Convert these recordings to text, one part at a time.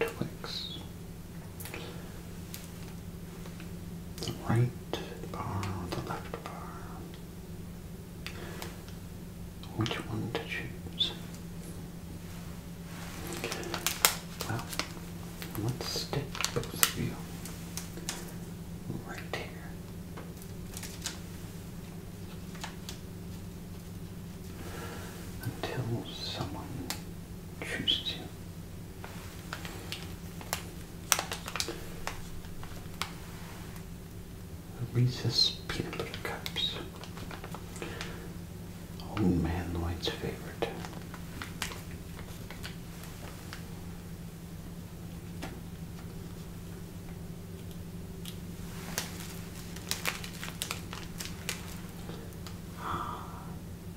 Twix. The right bar the left bar? Which one to choose? Well, let's stick both of you right here until someone chooses you. Reese's peanut butter cups. Old man Lloyd's favorite.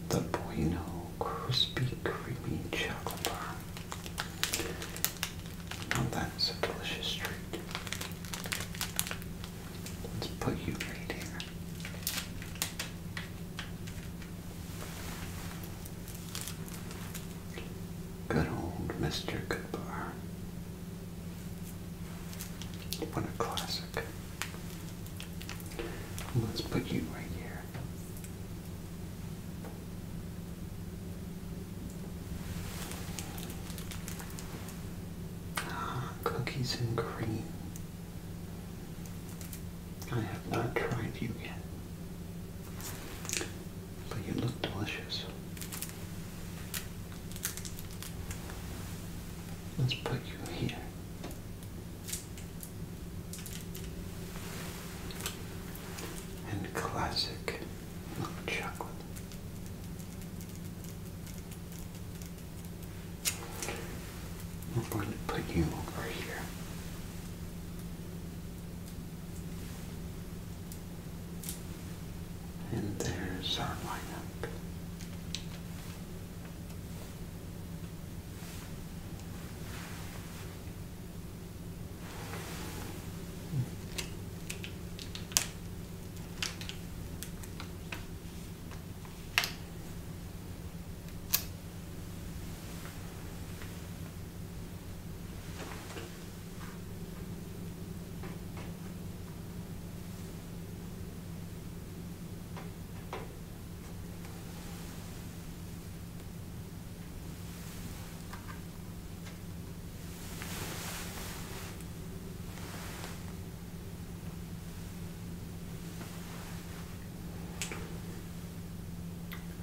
The Bueno Crispy Creamy Chocolate Bar. Now that's a delicious treat. Let's put you right here. Good old Mr. Goodbar. What a classic. Let's put you right here. Ah, cookies and cream. I have not tried you yet. But you look delicious. Let's put you here. And classic milk chocolate. We're going to put you over here. And there's our lineup.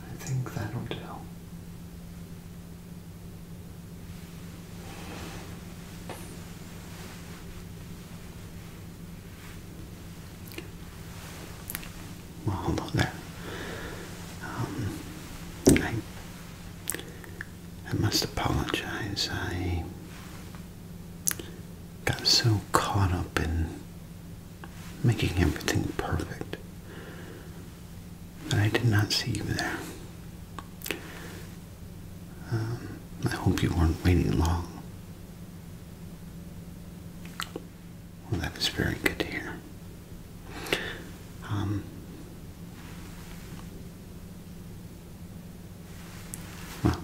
I think that'll do. Well, hello there. Um, I must apologize. I got so caught up in making everything perfect that I did not see you there. Um, I hope you weren't waiting long. Well, that is very good to hear. Um, well,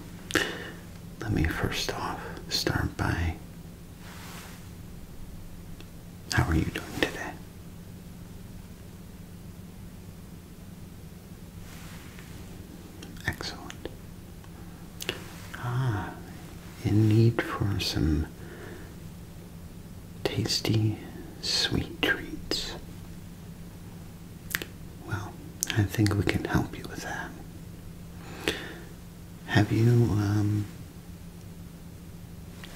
let me first off start by. How are you doing today? Excellent. Ah, in need for some tasty, sweet treats. Well, I think we can help you with that. Have you um,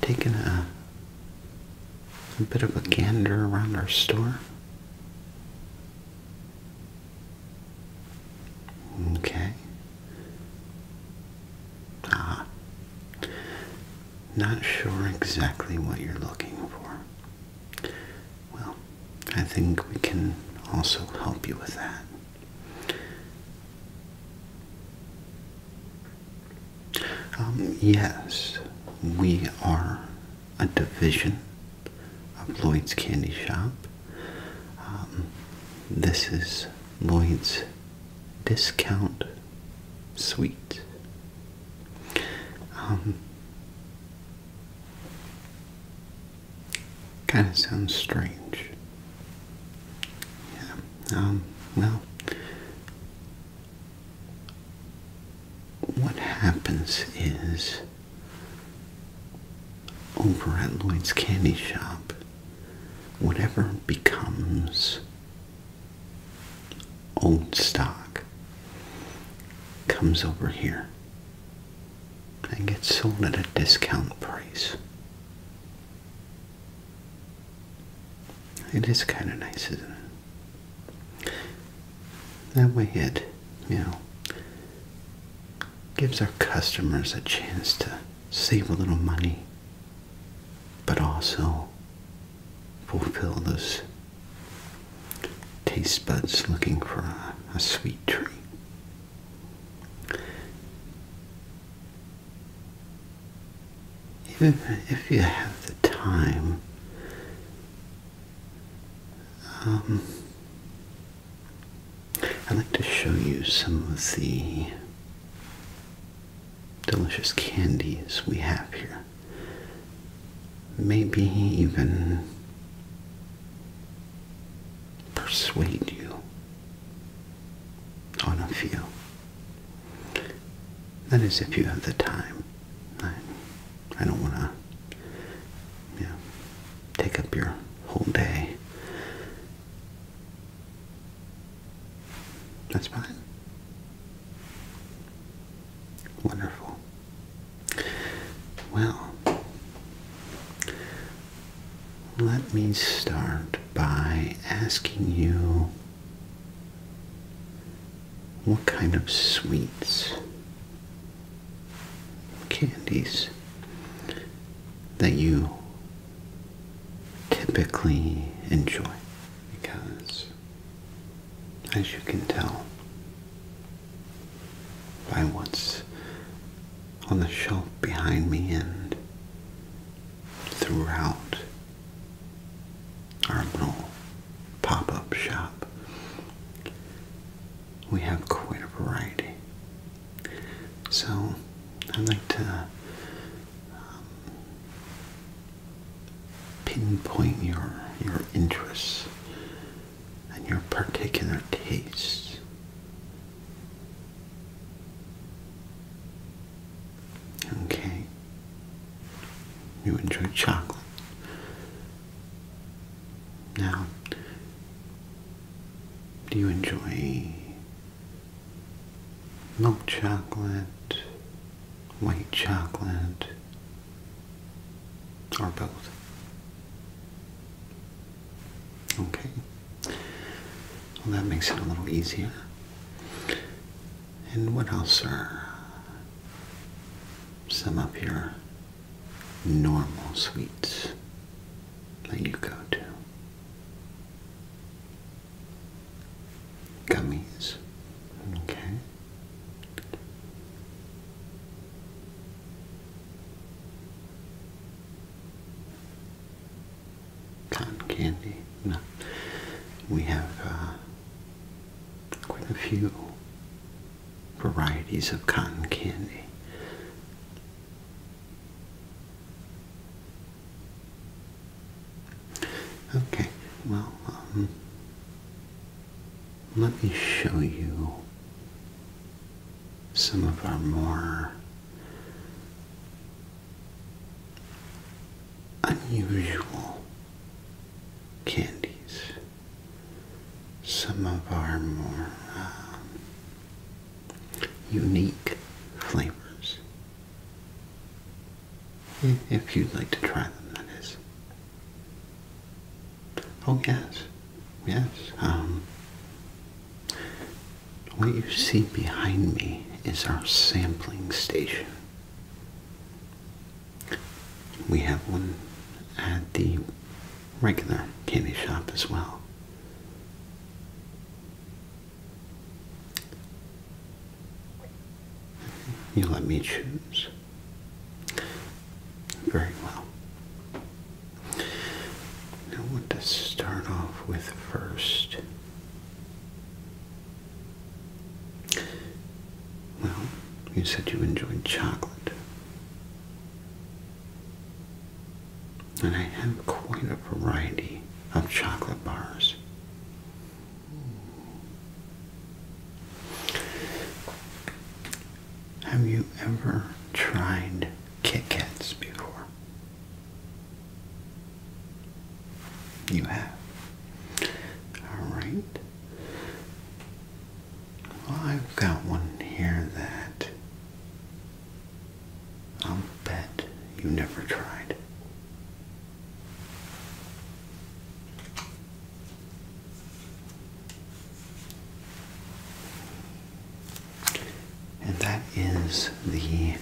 taken a a bit of a gander around our store. Okay. Ah. Not sure exactly what you're looking for. Well, I think we can also help you with that. Um, yes, we are a division of Lloyd's Candy Shop. Um, this is Lloyd's Discount Sweet. Um, kind of sounds strange. Yeah. well, what happens is over at Lloyd's Candy Shop, whatever becomes old stock comes over here and gets sold at a discount price. It is kind of nice, isn't it? That way it, you know, gives our customers a chance to save a little money, but also fulfill those taste buds looking for a, a sweet treat. Even if you have the time, um, I'd like to show you some of the delicious candies we have here. Maybe even persuade you on a few. That is, if you have the time. I, I don't want to you take up your whole day. That's fine. Wonderful. Well, let me start by asking you what kind of sweets? Candies that you typically enjoy because, as you can tell by what's on the shelf behind me and throughout our little pop-up shop. We have quite a variety. So I'd like to um, pinpoint your your interests and your particular tastes. Okay. You enjoy chocolate. Now, do you enjoy milk chocolate, white chocolate, or both? Okay. Well, that makes it a little easier. And what else, sir? some up your normal sweets that you go to. Gummies, okay. Cotton candy. No, we have uh, quite a few varieties of cotton candy. Okay, well, um, let me show you some of our more unusual candies some of our more um, unique flavors. Hmm. If you'd like to try them, that is. Oh, yes. Yes. Um, what you see behind me is our sampling station. We have one at the regular candy shop as well. You let me choose. Very well. Now, what to start off with first? Well, you said you enjoyed chocolate. And I have quite a variety of chocolate bars. Have you ever tried Kit Kats before? You have. All right. I've got one here that I'll bet you never tried. And that is the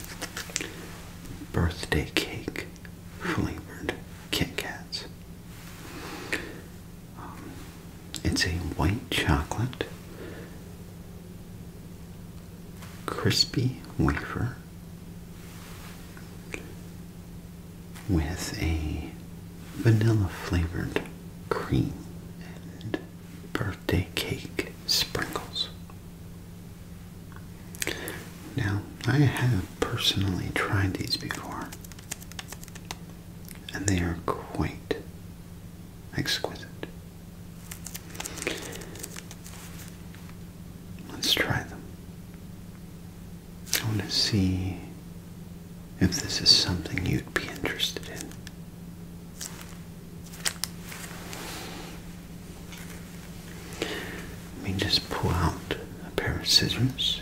birthday cake flavored Kit Kats. Um, it's a white chocolate crispy wafer with a vanilla flavored cream and birthday cake sprinkles. Now, I have personally tried these before, and they are quite exquisite. Let's try them. I want to see if this is something you'd be interested in. Let me just pull out a pair of scissors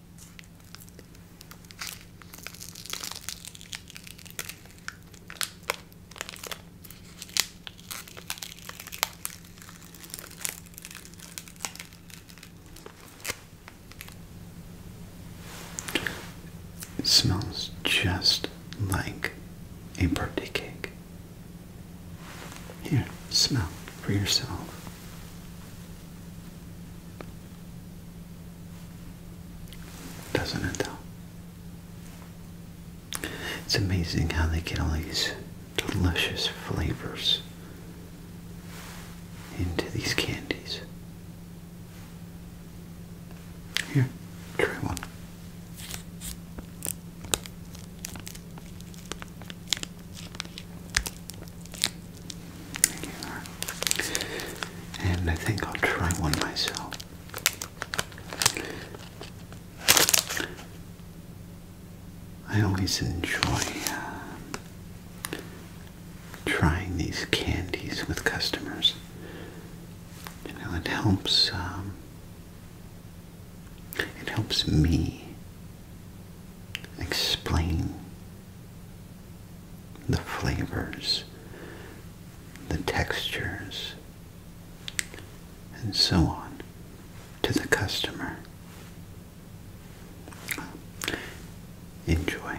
It smells just like a birthday cake. Here, smell for yourself. Doesn't it It's amazing how they get all these delicious flavors into these candies. Here, try one. And I think I'll try one myself. I always enjoy uh, trying these candies with customers. You know, it helps. Um, it helps me explain the flavors, the textures, and so on to the customer. Enjoy.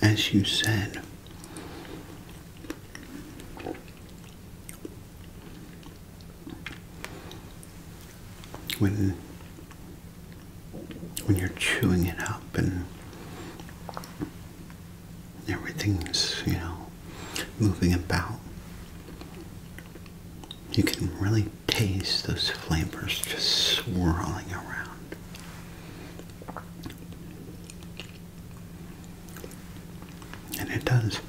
As you said, when when you're chewing it up and everything's, you know, moving about. You can really taste those flavors just swirling around. And it does.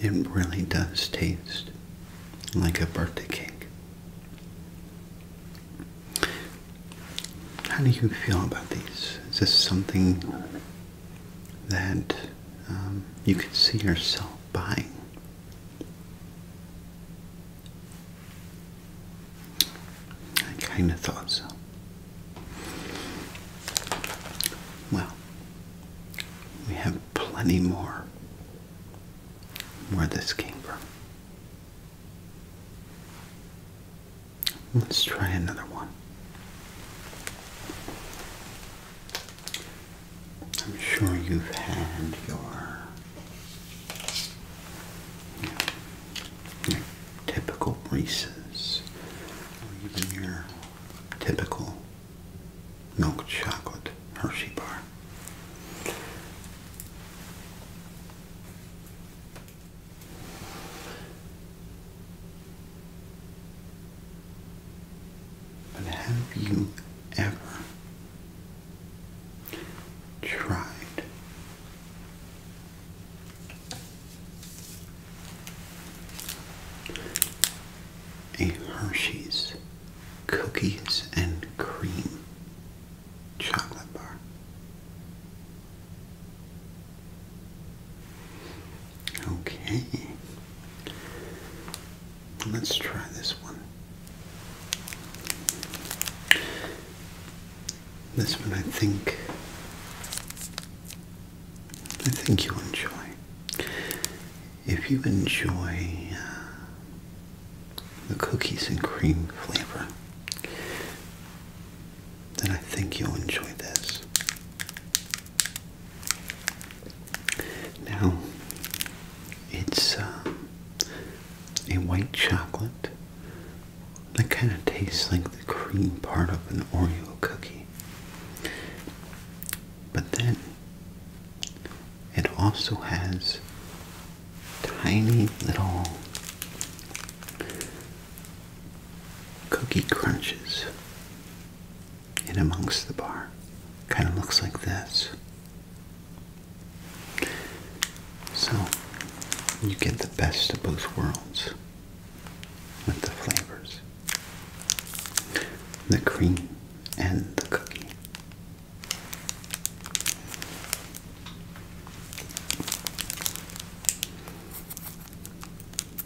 It really does taste like a birthday cake. How do you feel about these? Is this something that um, you can see yourself buying. I kind of thought so. Well, we have plenty more where this came from. Let's try another one. I'm sure you've had your, typical Reese's or even your typical milk chocolate Hershey bar. But have you ever tried a Hershey's cookies and cream chocolate bar? Okay. Let's try this one. This one I think I think you will enjoy. If you enjoy uh, the cookies and cream flavor, then I think you'll enjoy this. Now, it's uh, a white chocolate that kind of tastes like the cream part of an Oreo cookie. But then, it also has tiny little cookie crunches in amongst the bar. Kind of looks like this. So you get the best of both worlds with the flavors the cream and the cookie.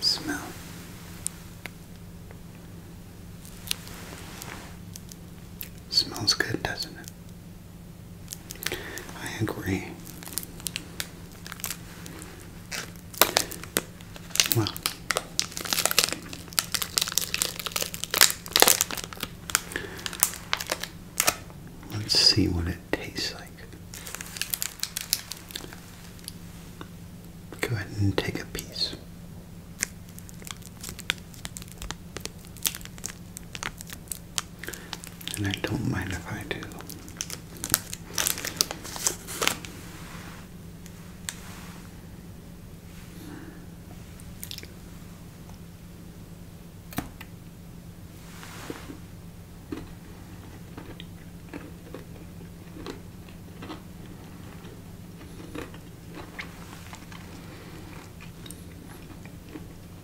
Smell. Smells good, doesn't it? I agree. Well, let's see what it tastes like. Go ahead and take a piece and I don't mind if I do.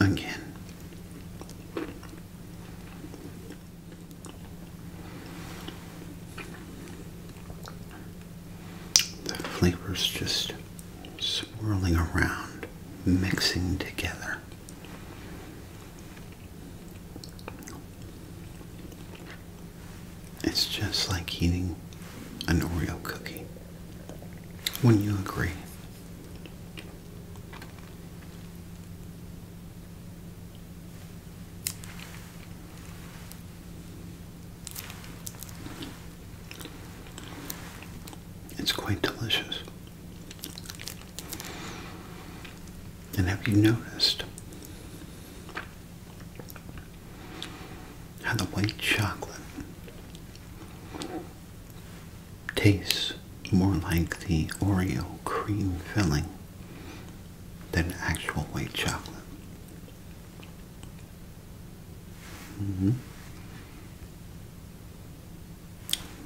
again. The flavors just swirling around, mixing together. It's just like eating an Oreo cookie. Wouldn't you agree? It's quite delicious. And have you noticed how the white chocolate tastes more like the Oreo cream filling than actual white chocolate. Mm-hmm.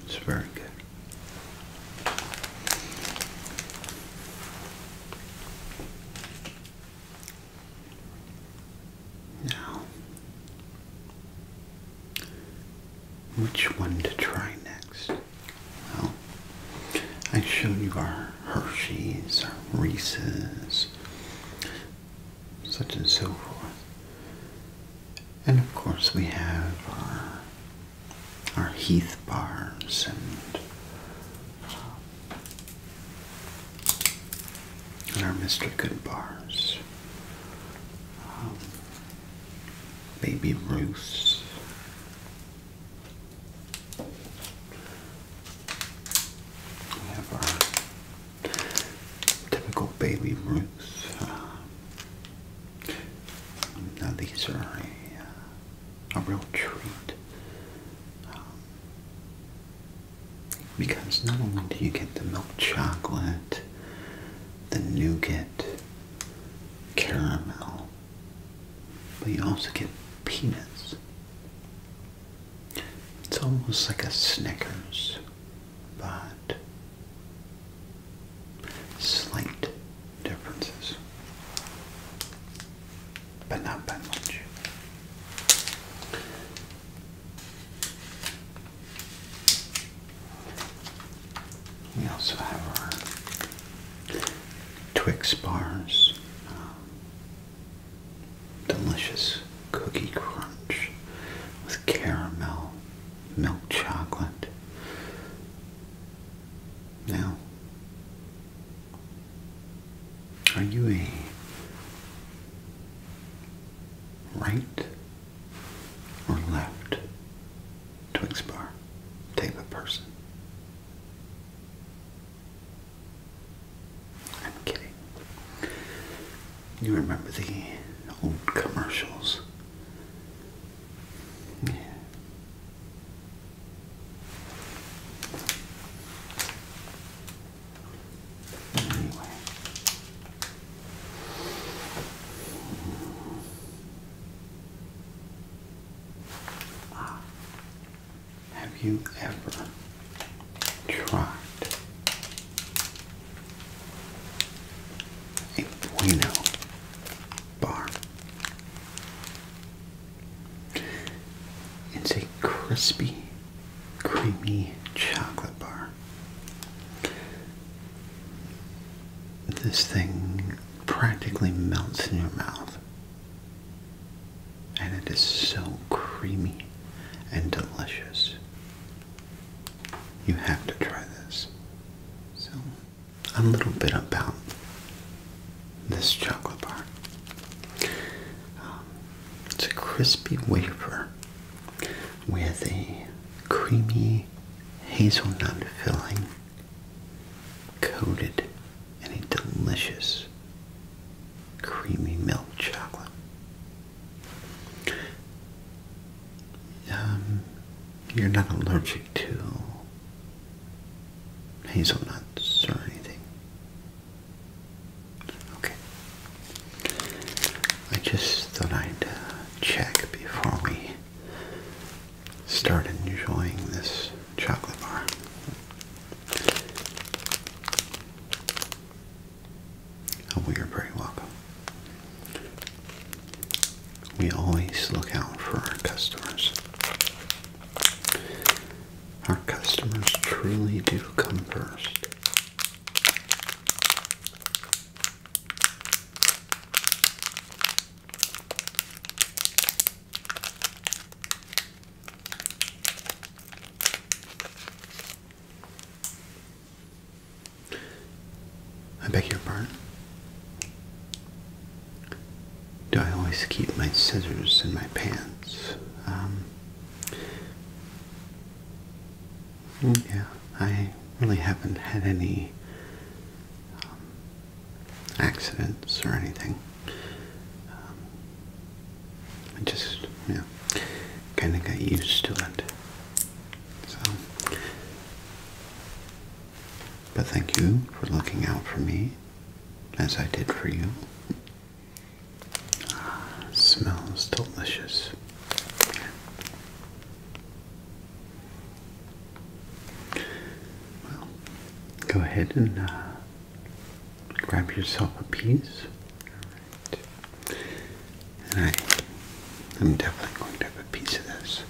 It's very good. Now, which one to try next? Well, I showed you our Hershey's, our Reese's, such and so forth. And of course we have our, our Heath bars and, uh, and our Mr. Good bars baby Ruth. typical baby Ruth. now these are uh, a, real treat. because not only do you get the milk chocolate, the nougat, caramel, but you also get peanuts. It's almost like a Snickers, but slight differences, but not by much. We also have our Twix bars, um, delicious cookie crunch with caramel, milk chocolate. Now, are you a right or left to explore type of person. I'm kidding. You remember the old commercials? Yeah. Anyway, Ah. Have you ever tried a Bueno bar? It's a crispy, creamy chocolate bar this thing practically melts in your mouth. And it is so creamy and delicious. You have to try this. So, a little bit about this chocolate bar. Um, it's a crispy wafer with a creamy hazelnut filling coated in a delicious creamy milk chocolate. Um, you're not allergic to hazelnuts or anything. Okay. I just thought I'd uh, check before we start enjoying this chocolate bar. Oh, we are very welcome. We always look out for our customers. Our customers truly do come first. I beg your pardon? Do I always keep my scissors in my pants? Um, yeah, I really haven't had any um, accidents or anything. Um, I just, yeah, kind of got used to it. So, but thank you for looking out for me, as I did for you. Uh, smells delicious. Well, go ahead and uh, grab yourself a piece. All right. And I am definitely going to have a piece of this.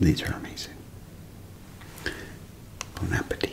These are amazing. Bon appetit.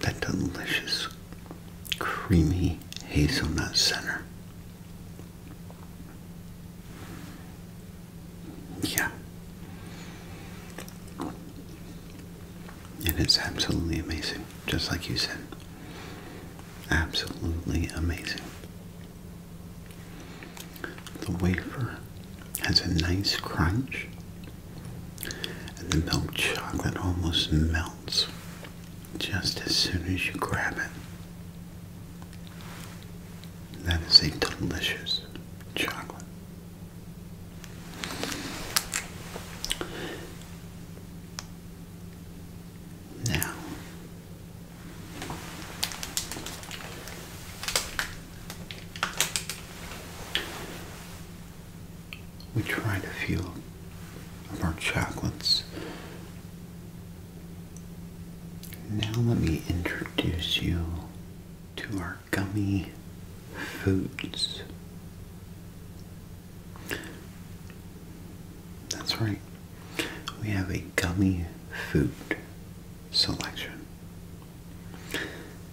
That delicious, creamy hazelnut center. Yeah. And It is absolutely amazing, just like you said. Absolutely amazing. The wafer has a nice crunch, and the milk chocolate almost melts just as soon as you grab it. That is a delicious chocolate. Now, we tried a few of our chocolates. Now, let me introduce you to our gummy foods. That's right. We have a gummy food selection.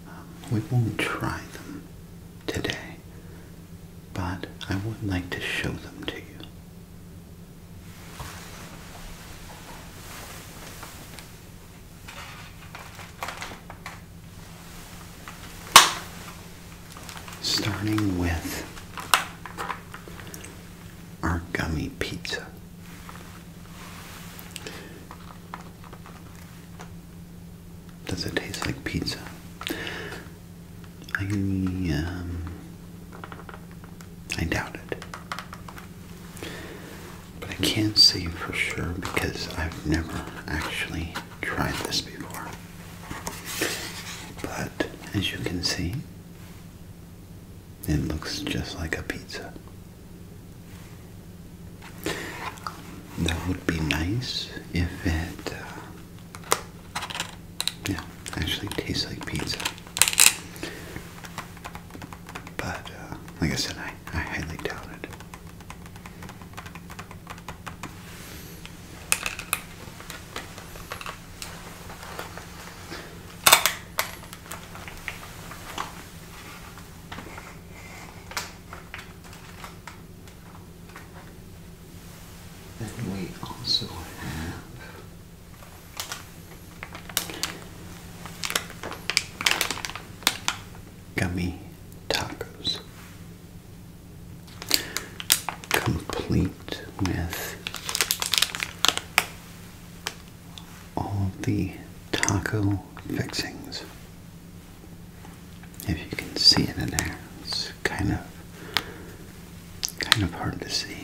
Um, we won't try them today, but I would like to show them to you. Starting with our gummy pizza. Does it taste like pizza? I um, I doubt it, but I can't say for sure because I've never actually tried this before. But as you can see, it looks just like a pizza. That would be nice if it, uh, yeah, actually tastes like pizza. But uh, like I said, I I highly doubt it. Then we also have gummy tacos complete with all the taco fixings. If you can see it in there, it's kind of kind of hard to see.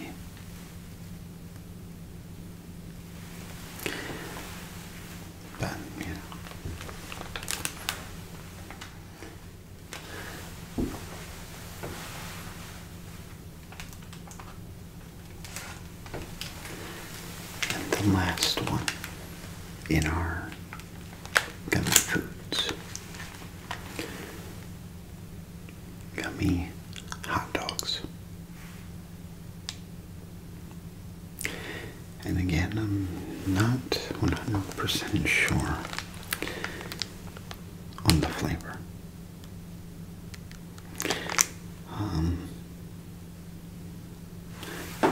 And the last one in our gummy foods. Gummy hot dogs. And again, I'm not 100% sure on the flavor. Um,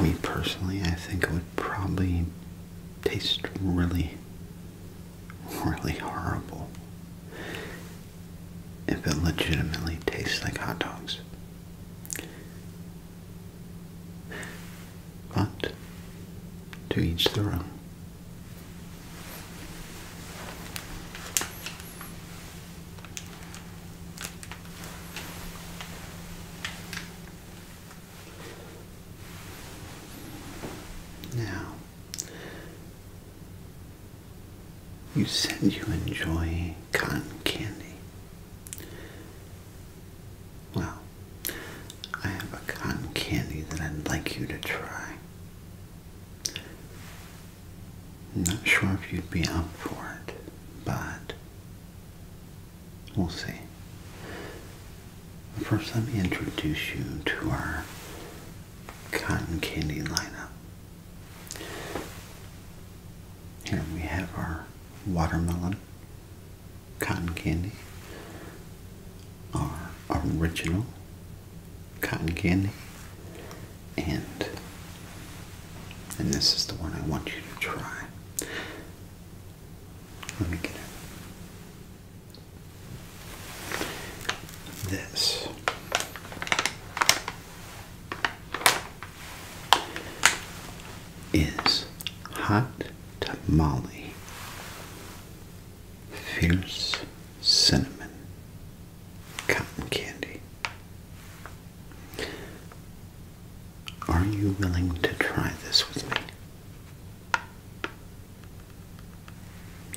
me personally, I think it would probably taste really, really horrible if it legitimately tastes like hot dogs. But to each their own. Now, you said you enjoy cotton candy. Well, I have a cotton candy that I'd like you to try. not sure if you'd be up for it, but we'll see. First, let me introduce you to our cotton candy lineup. Here we have our watermelon cotton candy are original cotton candy and and this is the one I want you to try. Let me get it. This is hot tamale, fierce cinnamon, cotton candy. Are you willing to try this with me?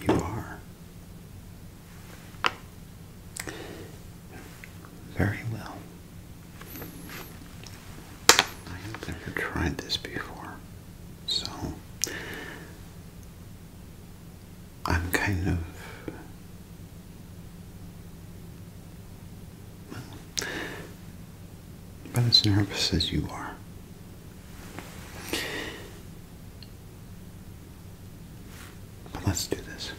You are. Very well. I have never tried this before, so I'm kind of. Well, about as nervous as you are. But let's do this.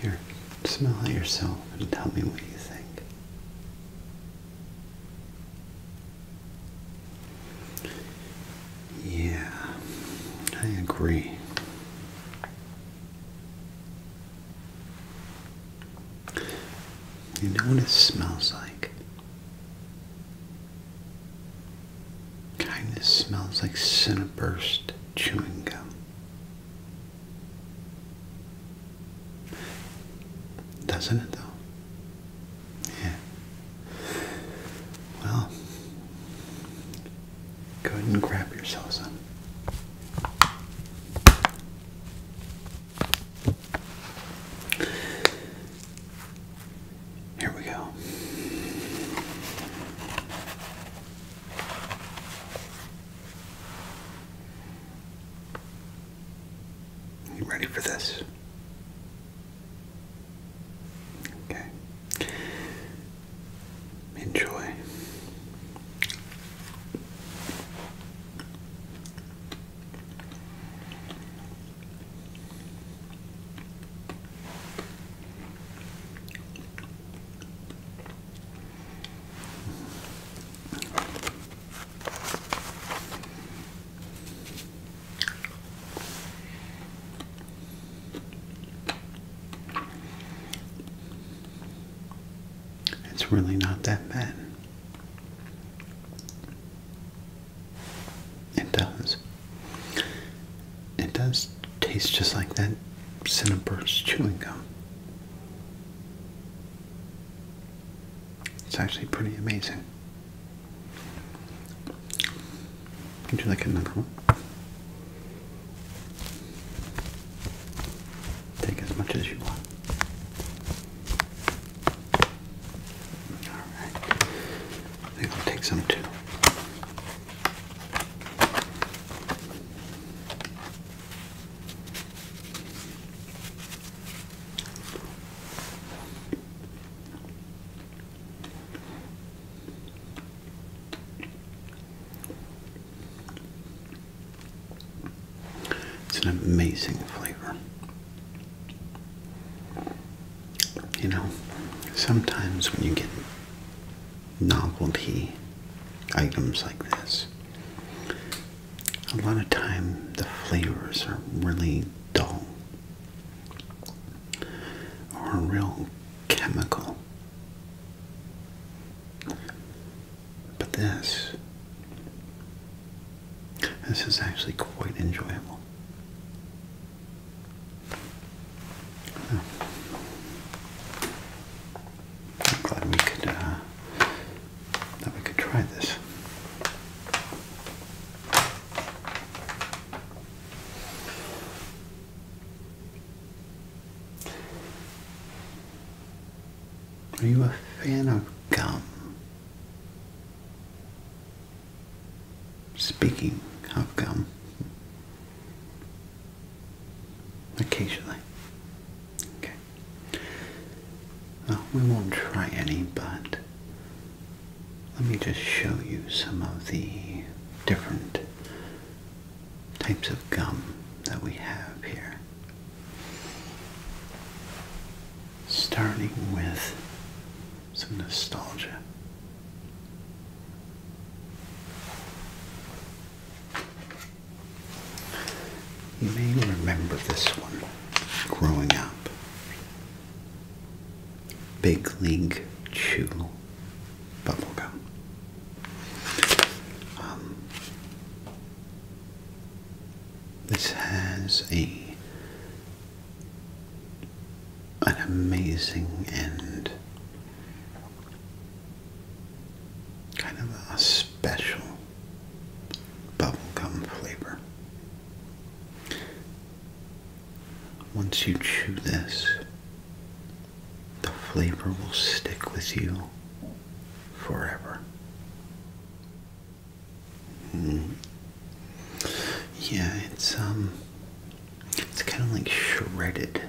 Here, smell it yourself and tell me what you think. Yeah, I agree. You know what it smells like? Kind of smells like Cineburst chewing gum. Doesn't it though? Yeah. Well, go ahead and grab yourself some. Here we go. You ready for this? Okay. Enjoy. It's really not that bad. It does. It does taste just like that Cineburst chewing gum. It's actually pretty amazing. Would like another one? Take as much as you want. Alright. I think I'll take some too. It's an amazing flavor. You know, sometimes when you get novelty items like this, a lot of time the flavors are really dull or real chemical. But this, this is actually quite enjoyable. Hmm. I'm glad we could uh, that we could try this. Are you a fan of gum? Speaking of gum, occasionally. Okay. we won't try any, but let me just show you some of the different types of gum that we have here. Starting with some nostalgia. You may remember this one growing up. Big League Chew bubblegum. Um, this has a an amazing and kind of a special bubblegum flavor. Once you chew this, the flavor will stick with you forever. Mm. Yeah, it's um it's kind of like shredded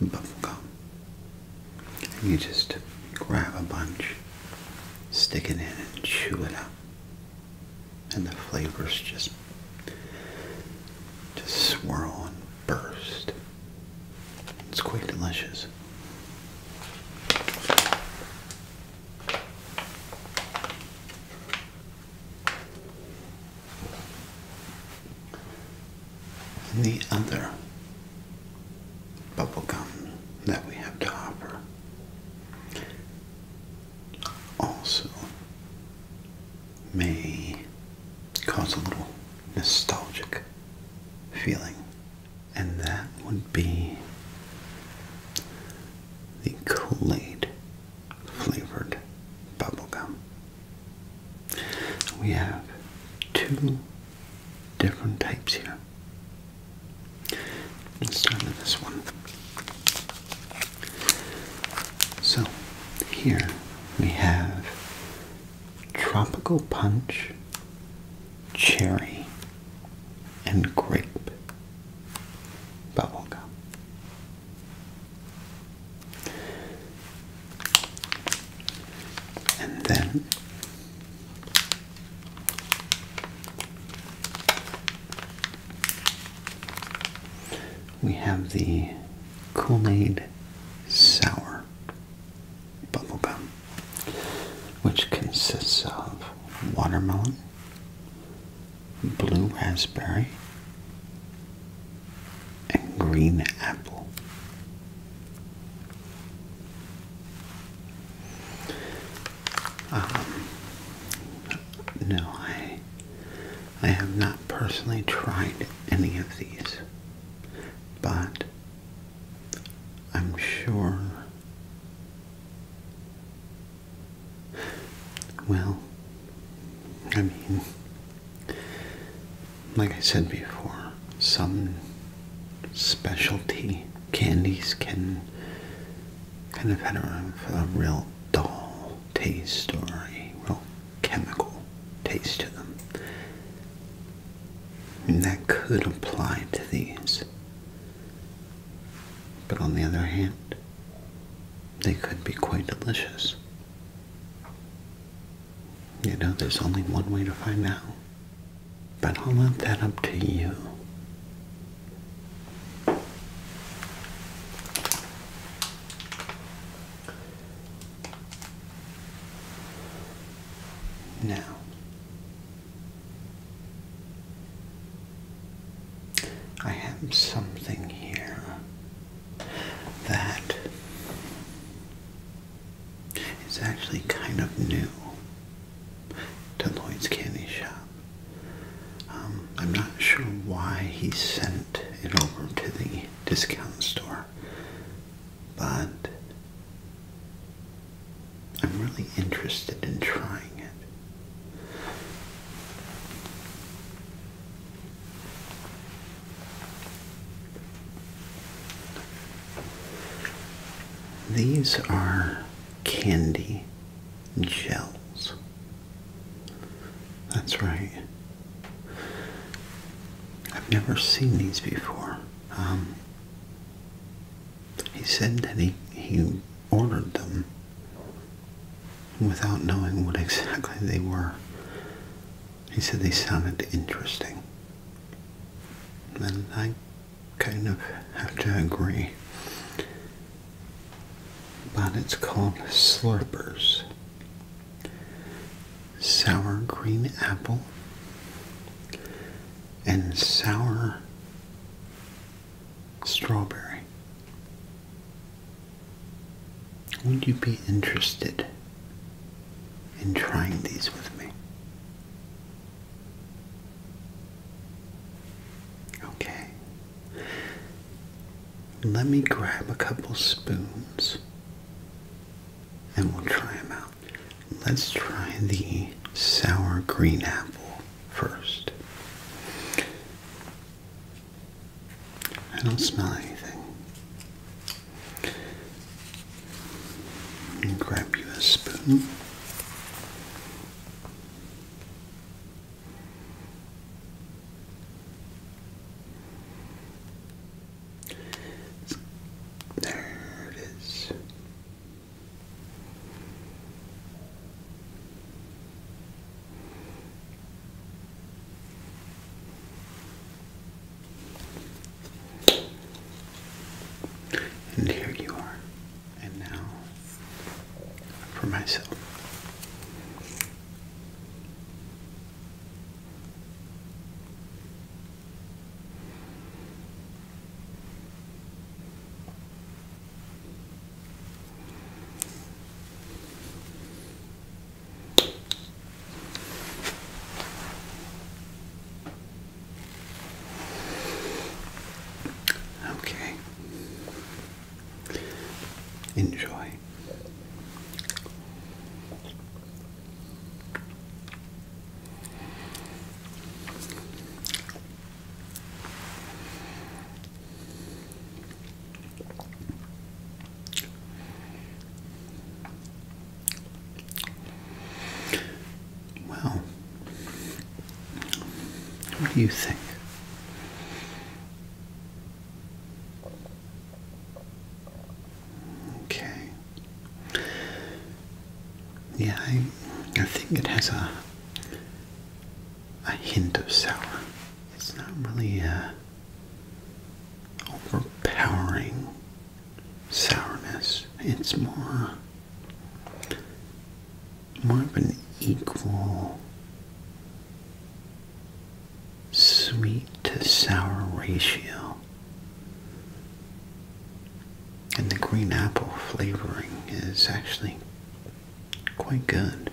bubble gum. You just grab a bunch, stick it in and chew it up and the flavors just just swirl and burst. It's quite delicious. the other bubblegum that we have to offer also may cause a little nostalgic feeling, and that would be the Kool Aid flavored gum. We have two different types here. Let's start with this one. So, here we have Tropical Punch, Cherry, and Grape Bubblegum. And then we have the Kool-Aid Sour Bubblegum, which consists of watermelon, blue raspberry, and green apple. Um, no, I I have not personally tried any of these, but I'm sure. Well, I mean, like I said before, some specialty candies can kind of had a, real dull taste or a real chemical taste to them. And that could apply to these. But on the other hand, they could be quite delicious. You know, there's only one way to find out. But I'll leave that up to you. Now, I have something here that is actually kind of new to Lloyd's Candy Shop. Um, I'm not sure why he sent it over to the discount store, but I'm really interested in trying it. These are candy and shells. That's right. I've never seen these before. Um, he said that he, he ordered them without knowing what exactly they were. He said they sounded interesting. And I kind of have to agree but it's called Slurpers. Sour green apple and sour strawberry. Would you be interested in trying these with me? Okay, let me grab a couple spoons and we'll try them out. Let's try the sour green apple first. I don't smell anything. And grab you a spoon. There it is. And here you are and now for myself. Okay. Enjoy. Well, what do you think? Okay. Yeah, I, think it has a a hint of sour. It's not really a overpowering sourness. It's more more of an equal sweet to sour ratio. And the green apple flavoring is actually quite good.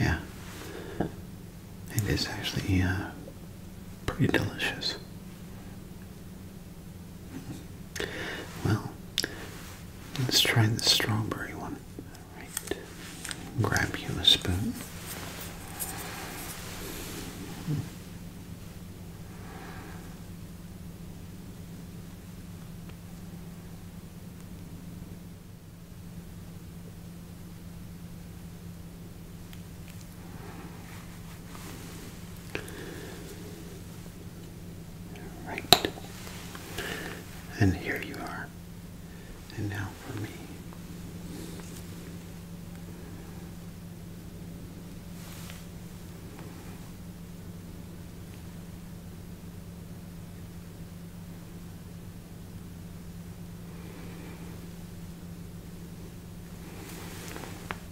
Yeah, it is actually uh, pretty delicious. Well, let's try the strawberry one. All right. Grab you a spoon. Right. And here you are. And now for me.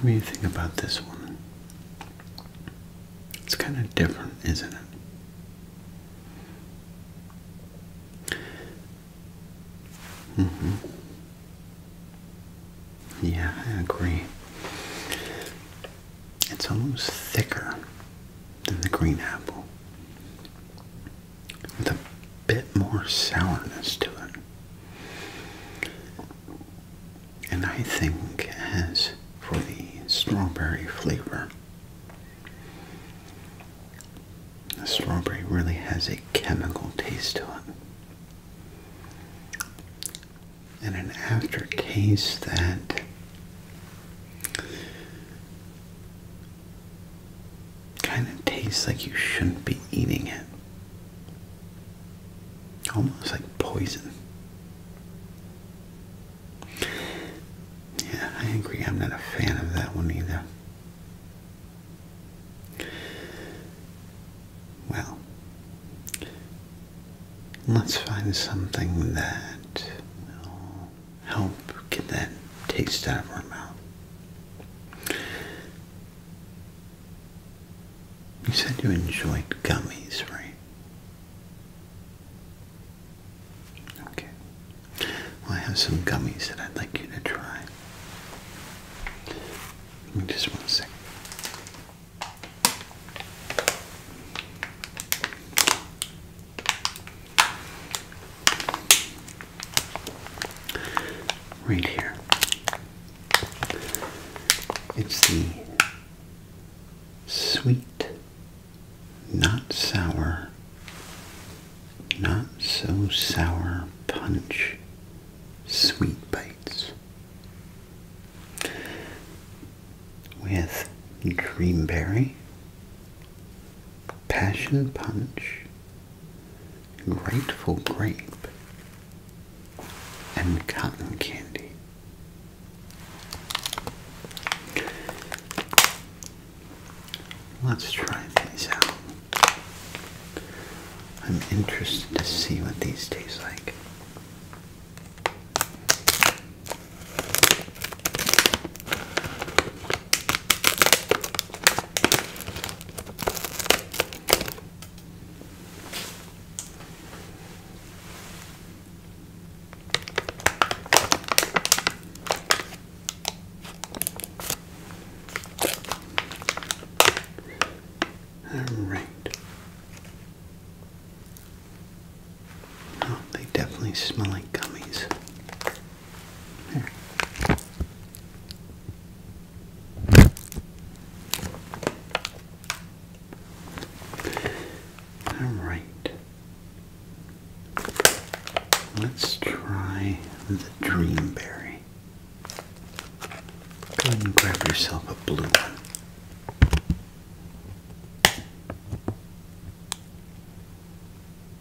What do you think about this one? It's kind of different, isn't it? Mm hmm Yeah, I agree. It's almost thicker than the green apple with a bit more sourness to it. And I think as for the strawberry flavor, the strawberry really has a chemical taste to it. And an aftertaste that Kind of tastes like you shouldn't be eating it. Almost like poison. Yeah, I agree. I'm not a fan of that one either. Well, let's find something that. You help get that taste out of our mouth. You said you enjoyed gummies, right? Okay. I have some gummies that I'd like you to try. just one second. Right here. It's the sweet, not sour, not so sour punch sweet bites with greenberry. Passion Punch, Grateful Grape, and Cotton Candy. Let's try these out. I'm interested to see what these taste like. All right. Oh, they definitely smell like gummies. All right. Let's try the dream Go ahead and grab yourself a blue one.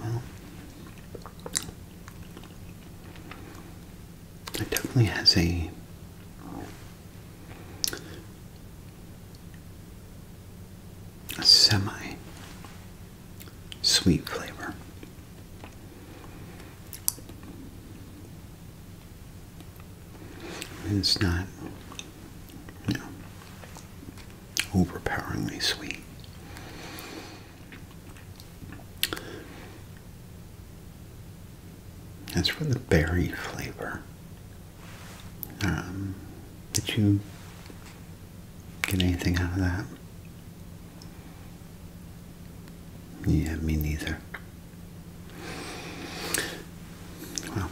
Well, it definitely has a semi sweet flavor. It's not, you know, overpoweringly sweet. As for the berry flavor, um, did you get anything out of that? Yeah, me neither. Well,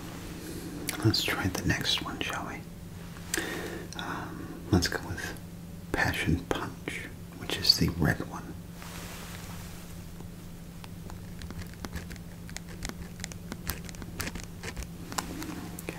let's try the next one, shall we? Um, let's go with Passion Punch, which is the red one. Okay.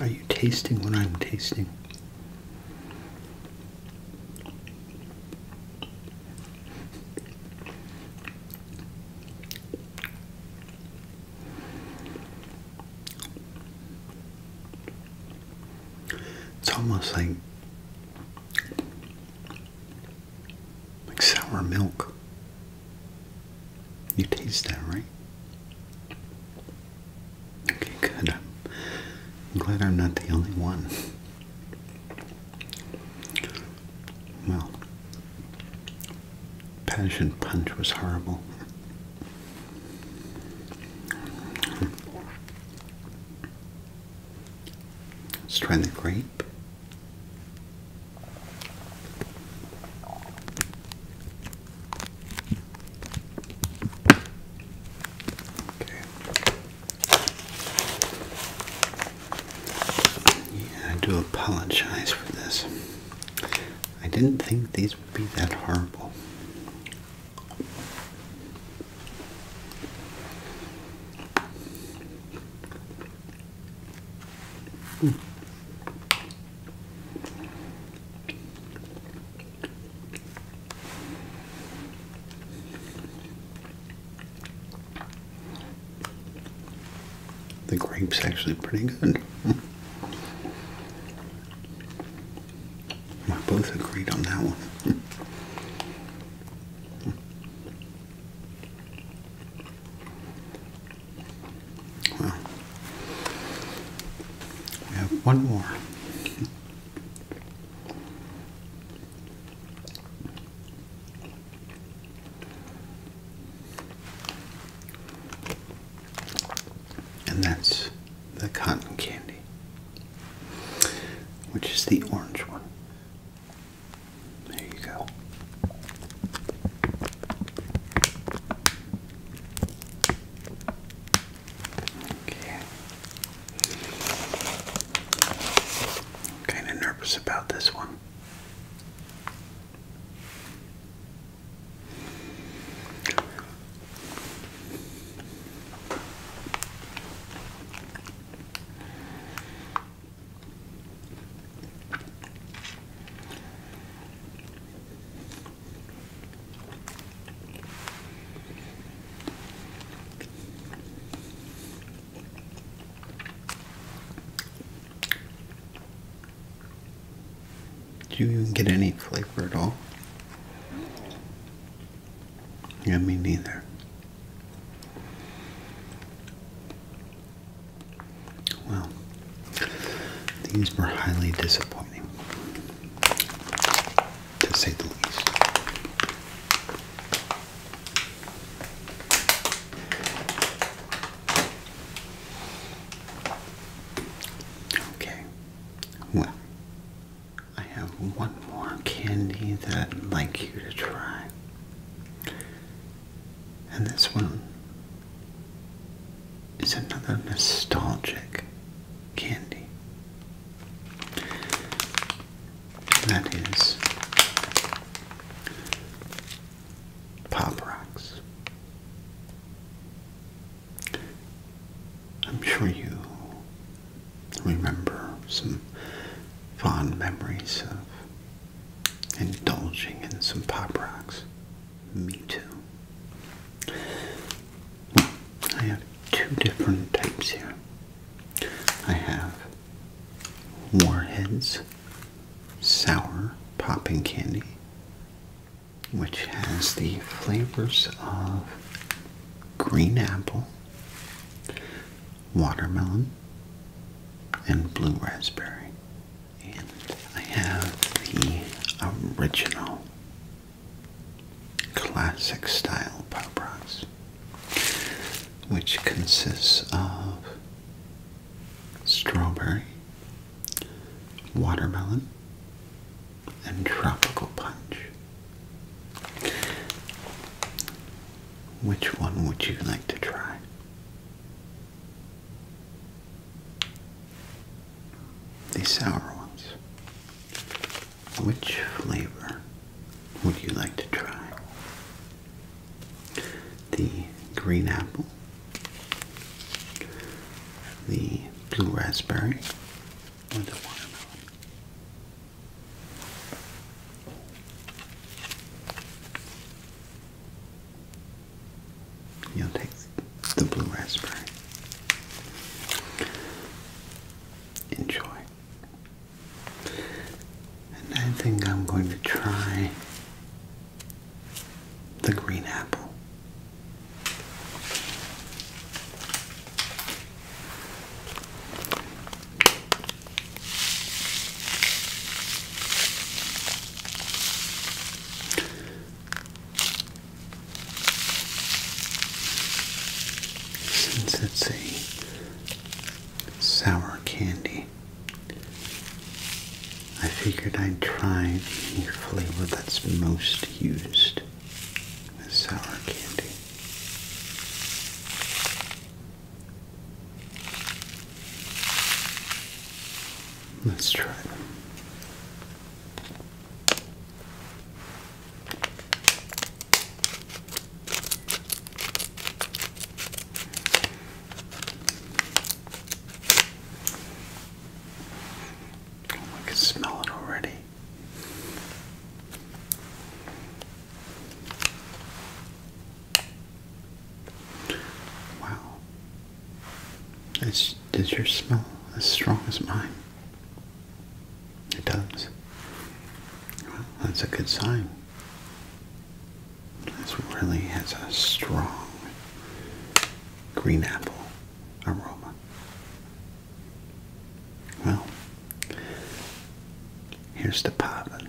Are you tasting what I'm tasting? It's almost like like sour milk. You taste that, right? Okay, good. I'm, glad I'm not the only one. Well, Passion Punch was horrible. Let's try the grape. Yeah, I do apologize for this. I didn't think these would be that horrible. The grape's actually pretty good. We both agreed on that one. Well, we have one more. And that's the cotton candy, which is the orange one. There you go. I'm kind of nervous about this one. Do you even get any flavor at all? Yeah, me neither. Well, these were highly disappointing, to say the least. Okay, well, I have one more candy that I'd like you to try. And this one is another nostalgic candy. that is Pop Rocks. I'm sure you remember some fond memories of indulging in some Pop Rocks. Me too. I have two different types here. I have Warheads Sour Popping Candy, which has the flavors of green apple, watermelon, and blue raspberry. I have the original classic style pop rocks, which consists of strawberry, watermelon, and tropical punch. Which one would you like to try? The sour ones. Which flavor would you like to try? The green apple, the blue raspberry, or the watermelon? You'll take the blue raspberry. Enjoy. And I think I'm going to try the green apple. Since it's a sour candy, I figured I'd try the flavor that's most used with sour candy. Let's try them. Oh, I can smell it already. Wow, does your smell as strong as mine? It does. Well, that's a good sign. This really has a strong green apple aroma. Well, here's the poppin'.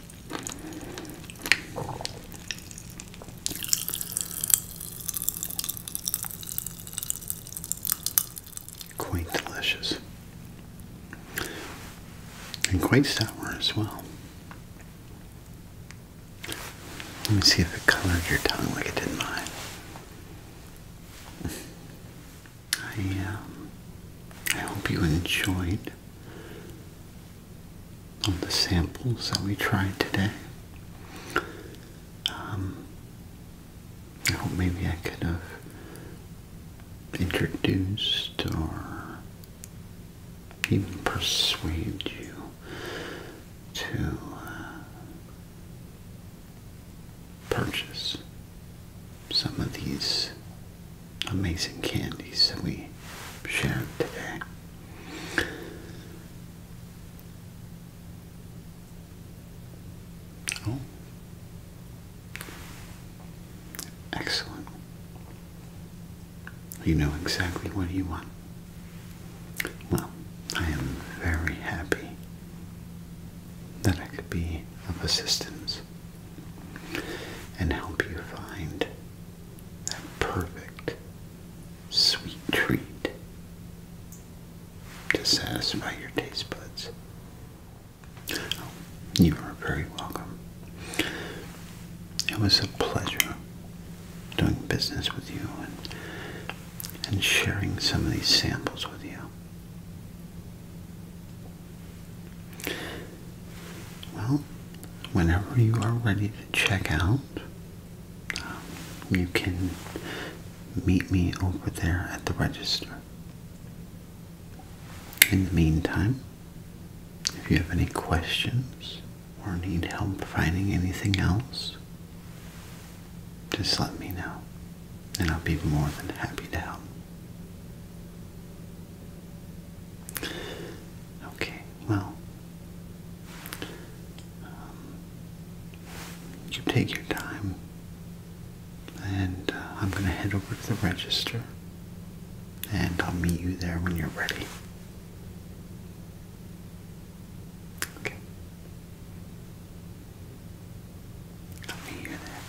Quite delicious. And quite sour as well. Let me see if it colored your tongue like it did mine. I um, I hope you enjoyed all the samples that we tried today. Um, I hope maybe I could have introduced or even persuade you to uh, purchase some of these amazing candies that we shared today. Oh, excellent. You know exactly what you want. Well, I am very happy that I could be of assistance and help you find that perfect sweet treat to satisfy your taste buds. Oh, you are very welcome. It was a pleasure doing business with you and, and sharing some of these samples with you. Well, whenever you are ready to check out, you can meet me over there at the register. In the meantime, if you have any questions or need help finding anything else, just let me know, and I'll be more than happy to help. Okay, well, um, you take your time, and uh, I'm going to head over to the register, and I'll meet you there when you're ready. Okay. I'll meet you there.